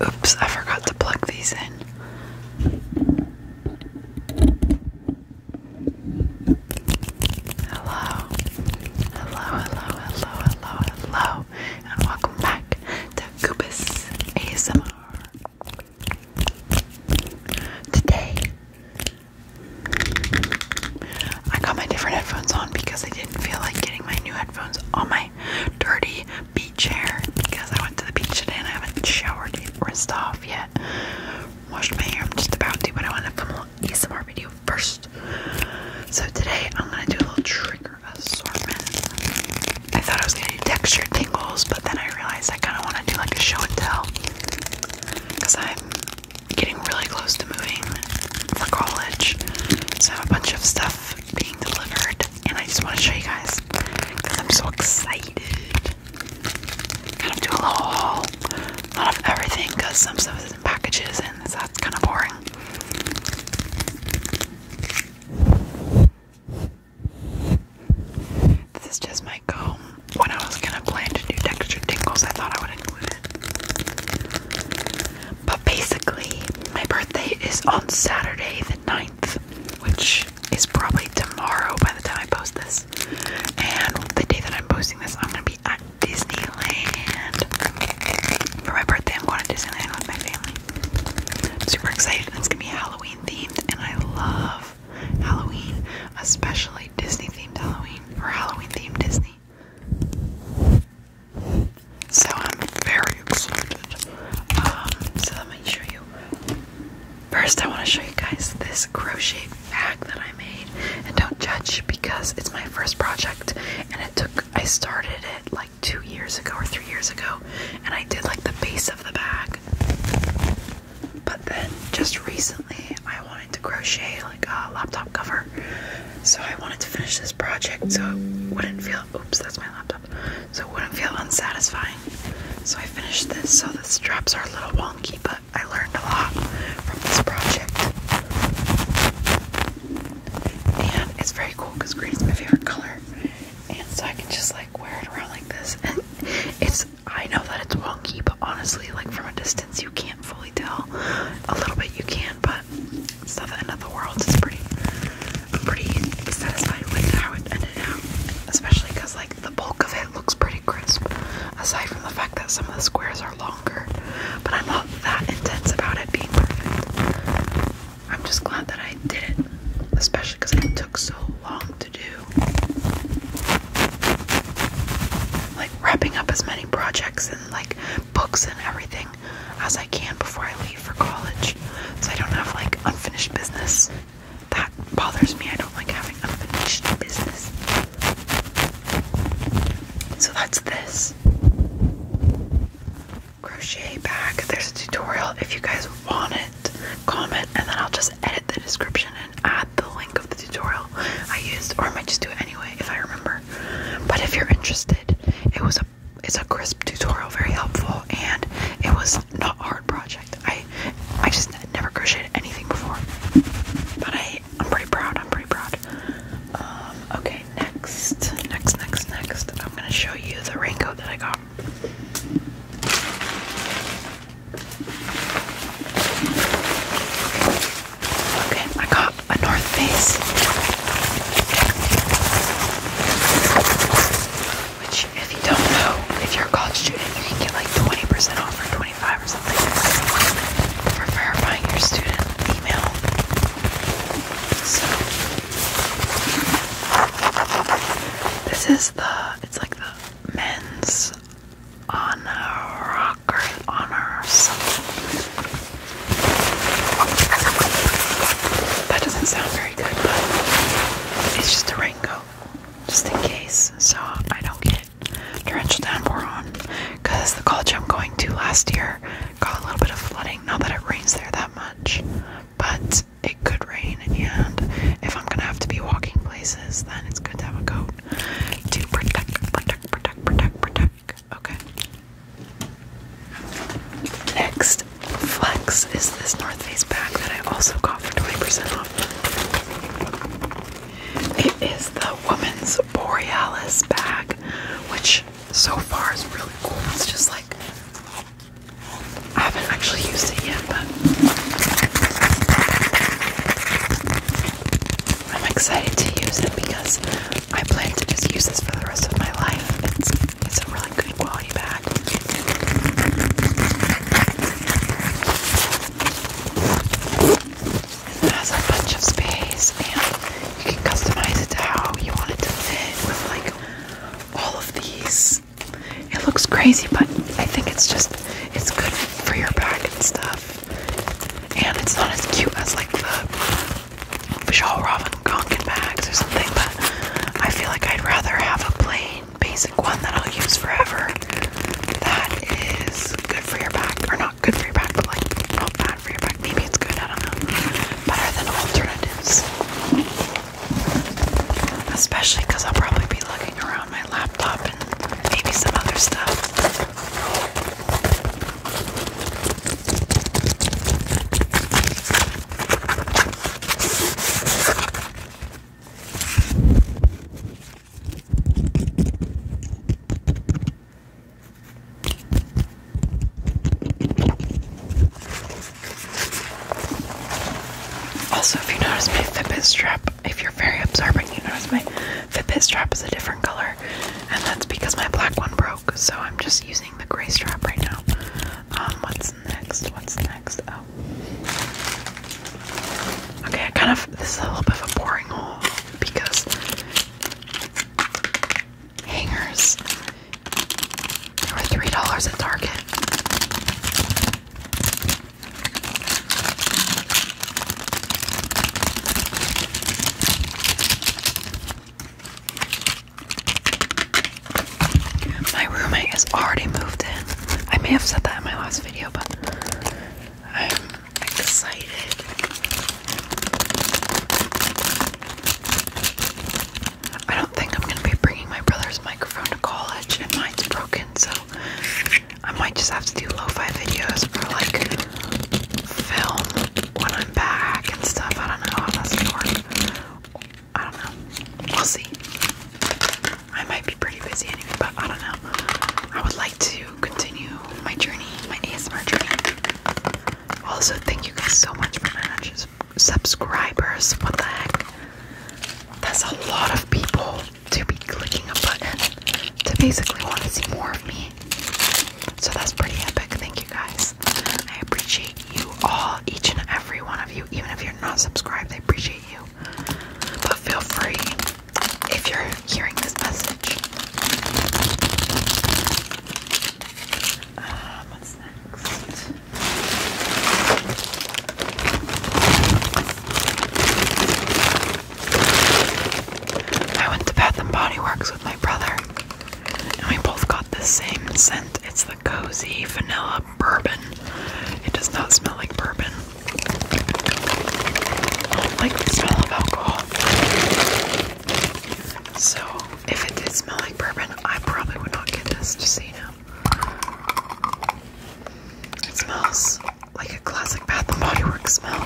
Oops, I forgot to plug these in. Hello, hello, hello, hello, hello, hello, and welcome back to Goobus ASMR. Today, I got my different headphones on because I didn't feel like getting my new headphones on my dirty beach hair because I went to the beach today and I haven't showered or off yet. Washed my hair, I'm just about to, but I want to film an ASMR video first. So today I'm gonna do a little trigger assortment. I thought I was gonna do texture tingles, but then I realized I kind of want to do like a show and tell because I'm getting really close to moving for college. So I have a bunch of stuff being delivered and I just want to show you guys because I'm so excited. Kind of do a little haul. Not everything because some stuff is in packages and that's kind of boring. This is just my comb. When I was gonna plan to do texture tingles, I thought I would include it. But basically, my birthday is on Saturday the 9th, which is probably tomorrow by the time I post this. And the day that I'm posting this, I'm gonna be at Disneyland. For my birthday, I'm going to Disneyland with my family. super excited. It's gonna be Halloween themed, and I love Halloween, especially Disney themed Halloween or Halloween themed Disney. So I'm very excited. Um, so let me show you. First, I want to show you guys this crochet bag that I made. And don't judge because it's my first project, and it took. I started it like two years ago or three years ago, and I did like the base of the bag. But then just recently, I wanted to crochet like a laptop cover so I wanted to finish this project so it wouldn't feel oops, that's my laptop. So it wouldn't feel unsatisfying. So I finished this. So the straps are a little wonky, but I learned a lot from this project. And it's very cool because green is my favorite color. And so I can just like wear it around like this. And it's I know that it's wonky, but honestly, like from a distance you can't can't fully tell. A little bit you can, but it's not the end of the world. It's pretty, pretty satisfied with how it ended out, especially because like the bulk of it looks pretty crisp. Aside from the fact that some of the squares are longer, but I'm not that intense about it being perfect. I'm just glad that I did it, especially because it took so long to do like wrapping up as many projects and like books and everything as I can before I leave for college so I don't have like unfinished business. That bothers me. I don't like having unfinished business. So that's this crochet bag. There's a tutorial if you guys want it. Comment and then I'll just edit the description and add the link of the tutorial I used, or I might just do it anyway if I remember. But if you're interested, it was a it's a crisp tutorial, very helpful, and it was not a hard project. I I just never crocheted anything before, but I I'm pretty proud. I'm pretty proud. Um, okay, next, next, next, next. I'm gonna show you the raincoat that I got. Okay, I got a North Face, which if you don't know, if you're a college student, you can get like 20% off or 25 or something for verifying your student email. So this is the it's like the men's on a rock on or That doesn't sound very good, but it's just a raincoat, just in case, so I don't get drenched downpour on. Because the college I'm going to last year got a little bit of flooding. Not that it rains there that much, but it could rain, and if I'm gonna have to be walking places, then it's good to have a coat to protect, protect, protect, protect, protect. Okay. Next, Flex is this North Face bag that I also got for 20% off. It is the Woman's Borealis bag, which so far is really cool. It's just like, I haven't actually used it yet, but I'm excited to use it because I plan to just use this for the rest of my life. It's, it's a really good quality bag. It has a bunch of space and you can customize it to how you want it to fit with like all of these. It looks crazy, but I think it's just it's good for your back and stuff. And it's not as cute as like the Bajal Robin Konkin bags or something, but I feel like I'd rather have a plain basic one that I'll use forever that is good for your back. Or not good for your back, but like not bad for your back. Maybe it's good, I don't know. Better than alternatives. Especially because I'll probably be looking around my laptop and maybe some other stuff. Also, if you notice, my Fitbit strap if you're very observant, you notice my Fitbit strap is a different color, and that's because my black one broke. So I'm just using the gray strap right now. Um, what's next? What's next? Oh. Okay, kind of this is a little bit of a boring haul because hangers were three dollars at Target. My roommate has already moved in. I may have said that in my last video, but I'm excited. I don't think I'm going to be bringing my brother's microphone to college, and mine's broken, so I might just have to do lo-fi videos or like film when I'm back and stuff. I don't know how that's gonna work. I don't know. We'll see. I might be pretty busy anyway, but I don't know. I would like to continue my journey, my ASMR journey. Also, thank you guys so much for 900 subscribers. What the heck? That's a lot of people to be clicking a button to basically want to see more of me. So that's pretty epic. Thank you guys. I appreciate you all, each and every one of you. Even if you're not subscribed, I appreciate you. But feel free if you're hearing this message. Um, what's next? I went to Bath and Body Works with my brother, and we both got the same scent. It's the cozy vanilla bourbon. It does not smell like bourbon. I don't like the smell of alcohol. So, if it did smell like bourbon, I probably would not get this, just so you it smells like a classic Bath and Body Works smell.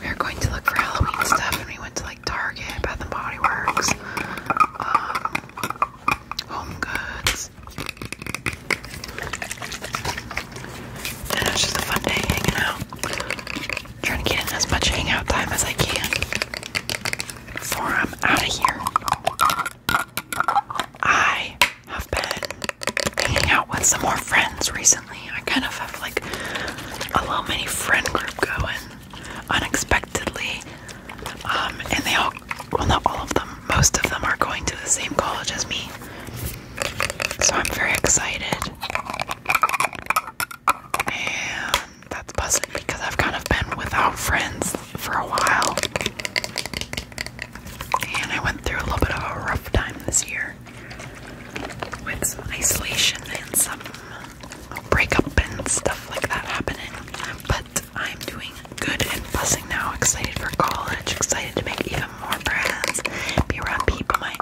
We were going to look for Halloween stuff and we went to like Target, Bath and Body Works, um, Home Goods. And it was just a fun day hanging out. trying to get in as much hangout time as I can before I'm out of here. I have been hanging out with some more friends recently. I kind of have like a little mini friend group going unexpectedly. Um, and they all, well, not all of them, most of them are going to the same college as me. So I'm very excited. And that's pleasant because I've kind of been without friends for a while. And I went through a little bit of a rough time this year with some isolation and some breakup and stuff like that happening. But I'm doing good and blessing now. Excited for college, excited to make even more friends, be around people my age.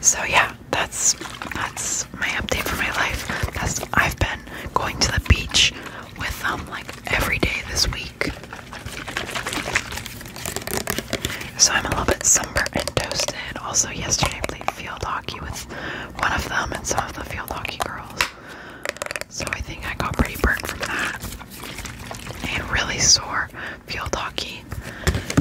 So yeah, that's that's my update for my life. That's I've been going to the beach with them um, like every day this week. So I'm a little bit sunburnt and toasted. Also yesterday played field hockey with one of them and some of the field hockey girls. So I think I got pretty burnt from that. And really sore field hockey.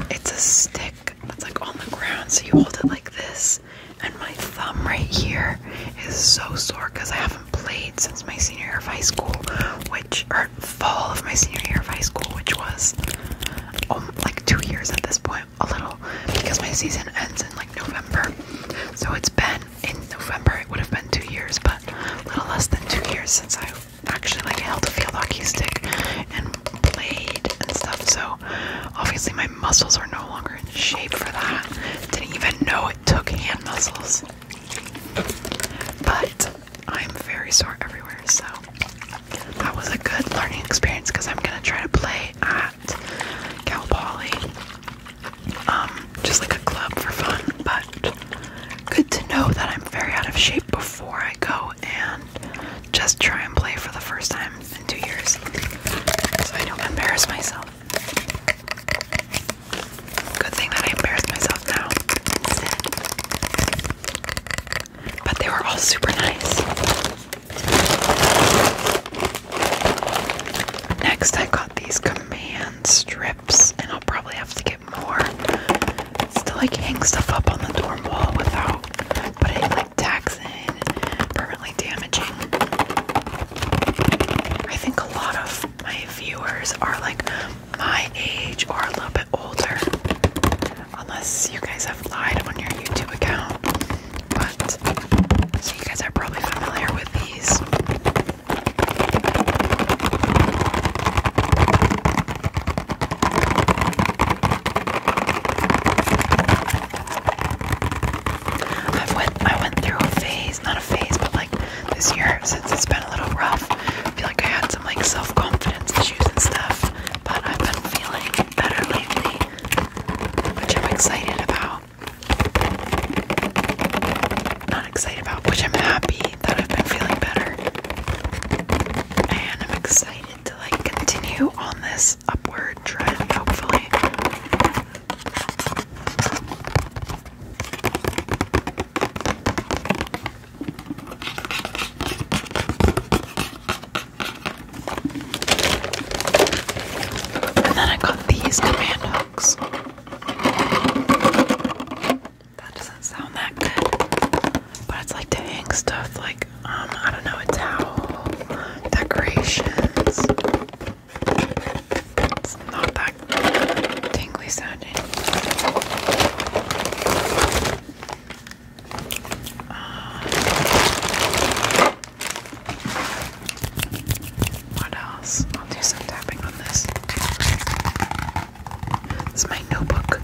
It's a stick that's like on the ground, so you hold it like this. And my thumb right here is so sore because I haven't played since my senior year of high school, which or fall of my senior year of high school, which was um, like two years at this point, a little because my season ends in like November. So it's been in November it would have been two years, but a little less than two years since I actually like held a field hockey stick and played and stuff. So obviously my muscles are no longer in shape for that. Didn't even know it took hand muscles. But I'm very sore everywhere, so that was a good learning experience because I'm gonna try to play at Cal Poly um, just like a club for fun, but good to know that I'm very out of shape before I go and just try and play for the first time in two years so I don't embarrass myself. Good thing that I embarrassed myself now But they were all super nice. Next, I got these command strips, and I'll probably have to get more. It's to like hang stuff up on the dorm wall without putting like tags in, permanently damaging. I think a lot of my viewers are like my age or a little bit older, unless you guys have lied on your YouTube account. But so you guys are probably familiar with these. i went through a phase, not a phase, but like this year since it's been a little rough. I feel like I had some like self-confidence issues and stuff, but I've feeling better lately, which I'm excited about not excited about, which I'm happy that I've been feeling better. And I'm excited to like continue on this upward trend, hopefully. And then I got these command hooks. That doesn't sound that good. But it's like to hang stuff like, um, I don't know, a towel, decorations. It's not that tingly sounding. Uh, what else? I'll do some tapping on this. This my notebook.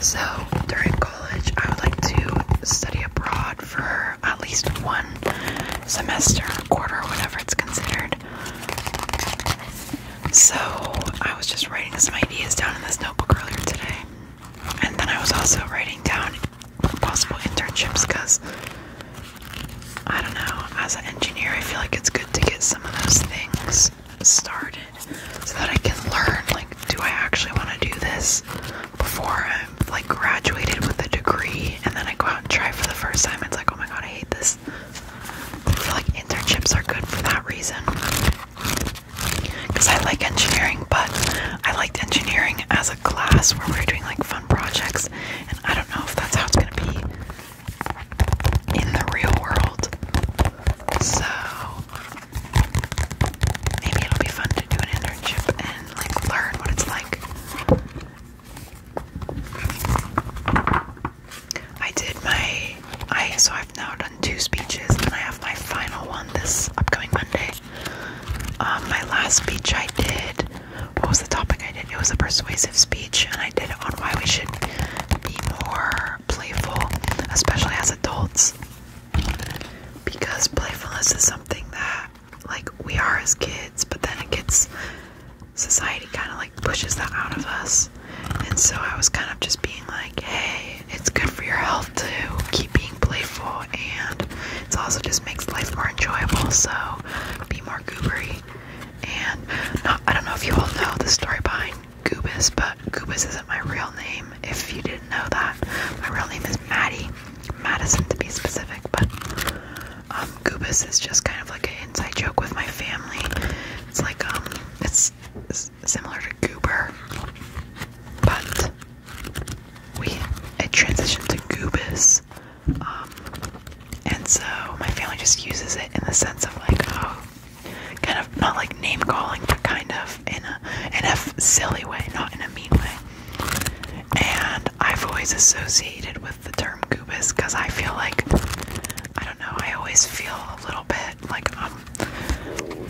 So during college, I would like to study abroad for at least one semester, quarter, whatever it's considered. So I was just writing some ideas down in this notebook earlier today, and then I was also writing down possible internships because I don't know, as an engineer, I feel like it's good to get some of those things started so that I can learn like, do I actually want to do this before I'm like graduated with a degree and then I go out and try for the first time? It's like, oh my god, I hate this. I feel like internships are good for that reason because I like engineering, but I liked engineering as class where we we're doing like fun projects, and I don't know if that's how it's gonna be in the real world. So maybe it'll be fun to do an internship and like learn what it's like. I did my I so I've now done two speeches and I have my final one this upcoming Monday. Um, my last speech I did, what was the topic I did? It was a persuasive speech, and I did it on why we should be more playful, especially as adults. Because playfulness is something that, like, we are as kids, but then it gets society kind of like pushes that out of us. And so I was kind of just being like, hey, it's good for your health to keep being playful, and it also just makes life more enjoyable. So be more goobery. And I don't know if you all know the story behind Goobus, but Goobus isn't my real name. If you didn't know that, my real name is Maddie, Madison to be specific. But um, is just kind of like an inside joke with my family. It's like um, it's similar to Goober, but we it transitioned to goobis, um, and so my family just uses it in the sense of like, oh, kind of not like name calling, but kind of in a in a silly way, not in a mean way. And I've always associated with the term goobis because I feel like I don't know. I always feel a little bit like um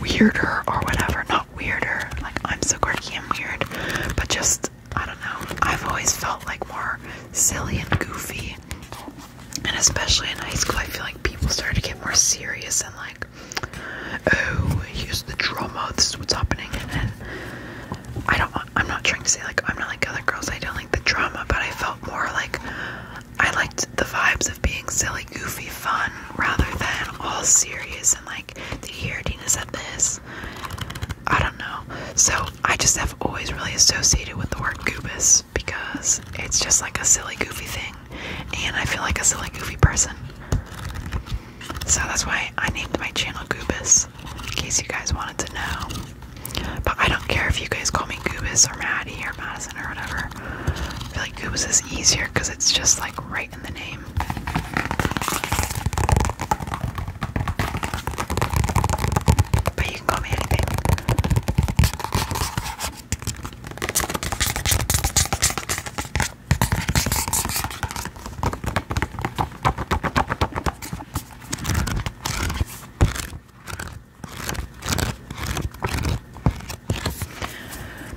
weirder or whatever. Not not weirder, like I'm so quirky and weird, but just I don't know. I've always felt like more silly and goofy, and especially in high school, I feel like people started to get more serious and like, oh, here's the drama. This is what's happening, and then I don't. I'm not trying to say like I'm not like other girls. I don't like the drama, but I felt more like I liked the vibes of being silly, goofy, fun, rather than all serious and like did you hear Dina said this? I don't know. So I just have always really associated with the word goobus because it's just like a silly, goofy thing, and I feel like a silly, goofy person. So that's why I named my channel Goobus, in case you guys wanted to know. But I don't care if you guys call me Goobus or Maddie or Madison or whatever. I feel like Goobus is easier because it's just like right. But you can call me anything.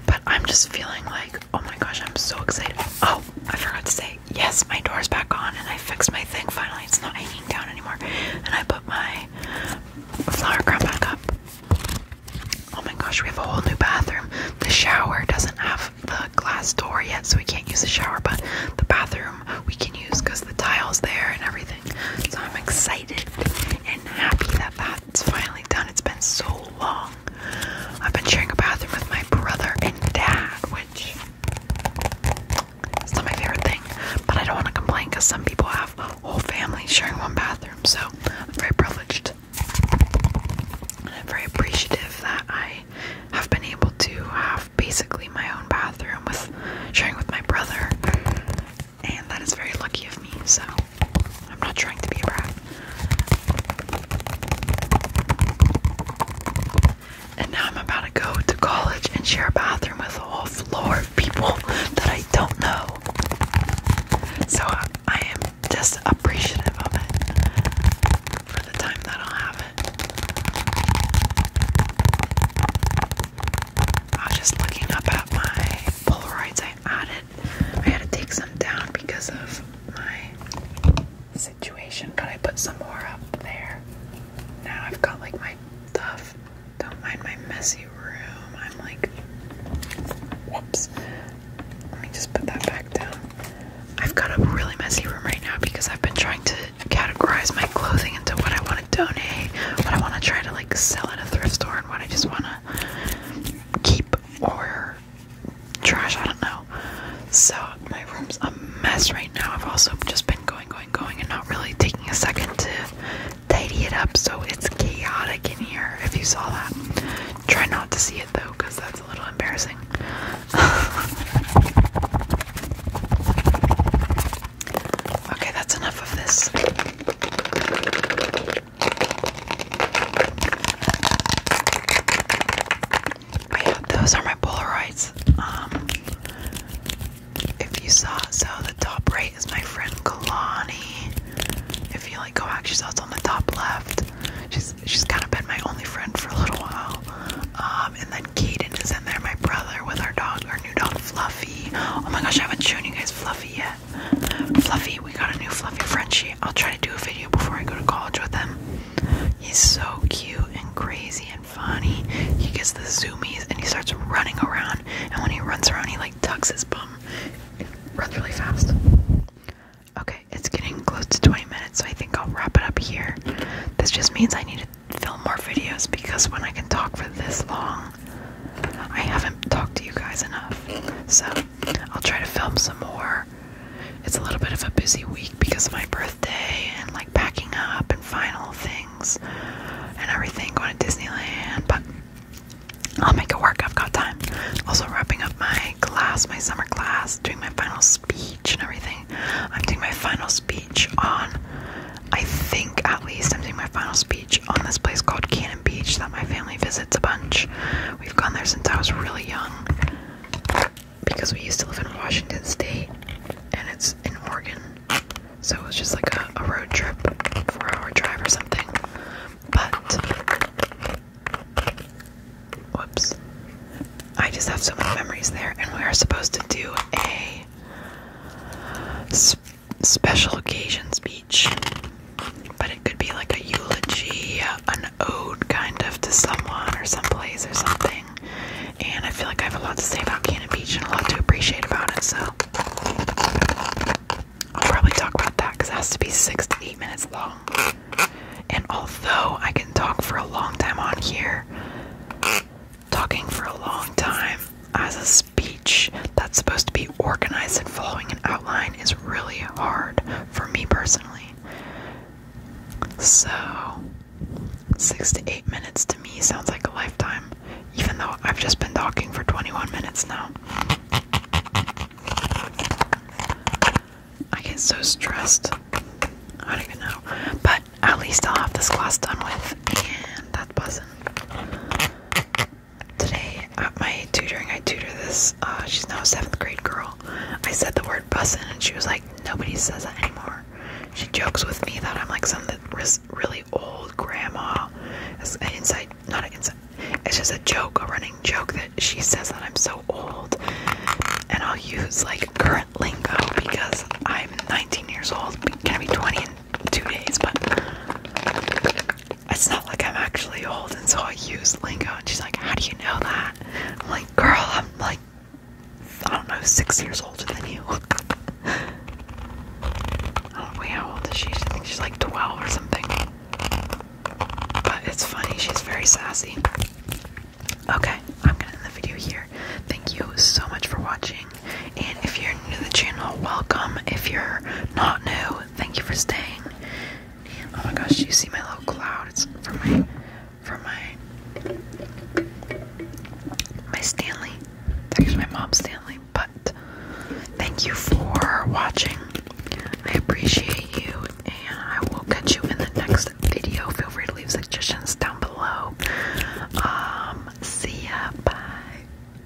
But I'm just feeling like Oh my gosh, I'm so excited. Oh, I forgot to say, yes, my door's back on and I fixed my thing finally. It's not hanging down anymore. And I put my flower crown back up. Oh my gosh, we have a whole new bathroom. The shower doesn't have the glass door yet, so we can't use the shower, but the bathroom we can use because the tile's there and everything. So I'm excited and happy that that's finally done. It's been so long. I've been sharing a bathroom with my brother and dad, which is not my favorite thing. But I don't want to complain because some people have whole families sharing one bathroom, so I'm very privileged. And I'm very appreciative that I have been able to have basically my own bathroom with sharing with my brother. And that is very lucky of me, so I'm not trying to be a brat. And now I'm about to go to college and share a bathroom with a whole floor of people that I don't know. So uh, I am just appreciative of it for the time that I'll have it. I was just looking up at my Polaroids I added I had to take some down because of my situation, but I put some more up there. Now I've got like my stuff. Don't mind my messy room. I'm like, whoops. Let me just put that back down. I've got a really messy room right now because I've been trying to categorize my clothing into what I want to donate, what I want to try to like sell at a thrift store, and what I just want to keep or trash, I don't know. So my room's a mess right now. I've also just been going, going, going, and not really taking a second to tidy it up, so it's chaotic in here. If you saw that, try not to see it though, because that's a little embarrassing. okay, that's enough of this. But those are my Polaroids. Um, if you saw, so the top right is my friend Kalani. If you like go back, she's also on the top left. She's she's kind of been my only friend for a little while. Um, and then Kaden is in there, my brother, with our dog, our new dog Fluffy. Oh my gosh, I haven't shown you guys Fluffy yet. Fluffy, we got a new Fluffy Frenchy. I'll try to do a video before I go to college with him. He's so cute and crazy and funny. He gets the zoomies and he starts running around. And when he runs around, he like tucks his bum. runs really fast. Okay, it's getting close to 20 minutes, so I think I'll wrap it up here. This just means I need to film more videos because when I can talk for this long, I haven't talked to you guys enough. So I'll try to film some more. It's a little bit of a busy week because of my birthday and like packing up and final things and everything going to Disneyland, but I'll make it work. I've got time. Also, wrapping up my class, my summer class, doing my final speech and everything. I'm doing my final speech on, I think at least, I'm doing my final speech on this place called Cannon Beach that my family visits a bunch. We've gone there since I was really young because we used to live in Washington State and it's in Oregon. So it was just like a, a road trip, four hour drive or something. But, whoops. I just have so many memories there, and we are supposed to do a special occasions speech, but it could be like a eulogy, an ode kind of to someone or some place or something. And I feel like I have a lot to say about Cannon Beach and a lot to appreciate about it, so I'll probably talk about that because it has to be six to eight minutes long. And although I can talk for a long time on here, talking for a long time as a speech that's supposed to be organized and following an outline is really hard for me personally. So, six to eight minutes to me sounds like a lifetime, even though I've just been talking for 21 minutes now. I get so stressed. I don't even know. But at least I'll have this class done with, and that wasn't. Today at my tutoring, I tutor this. Uh, she's now a seventh grade girl. I said the word bussin', and she was like, nobody says that anymore. She jokes with me that I'm like some really old grandma. It's an inside, not an inside. It's just a joke, a running joke that she says that I'm so old, and I'll use like current lingo because I'm 19 years old. gonna be 20 in two days, but it's not like I'm actually old, and so I use lingo. And she's like, How do you know that? I'm like, Girl, I'm like, I don't know, six years older than you. I don't know, how old is she? I she's like 12 or something. But it's funny, she's very sassy. Okay, I'm gonna end the video here. Thank you so much for watching. And if you're new to the channel, welcome. If you're not new, Thank you for staying. Oh my gosh, you see my little cloud? It's my from my my Stanley. It's my mom's Stanley, but thank you for watching. I appreciate you and I will catch you in the next video. Feel free to leave suggestions down below. Um see ya bye.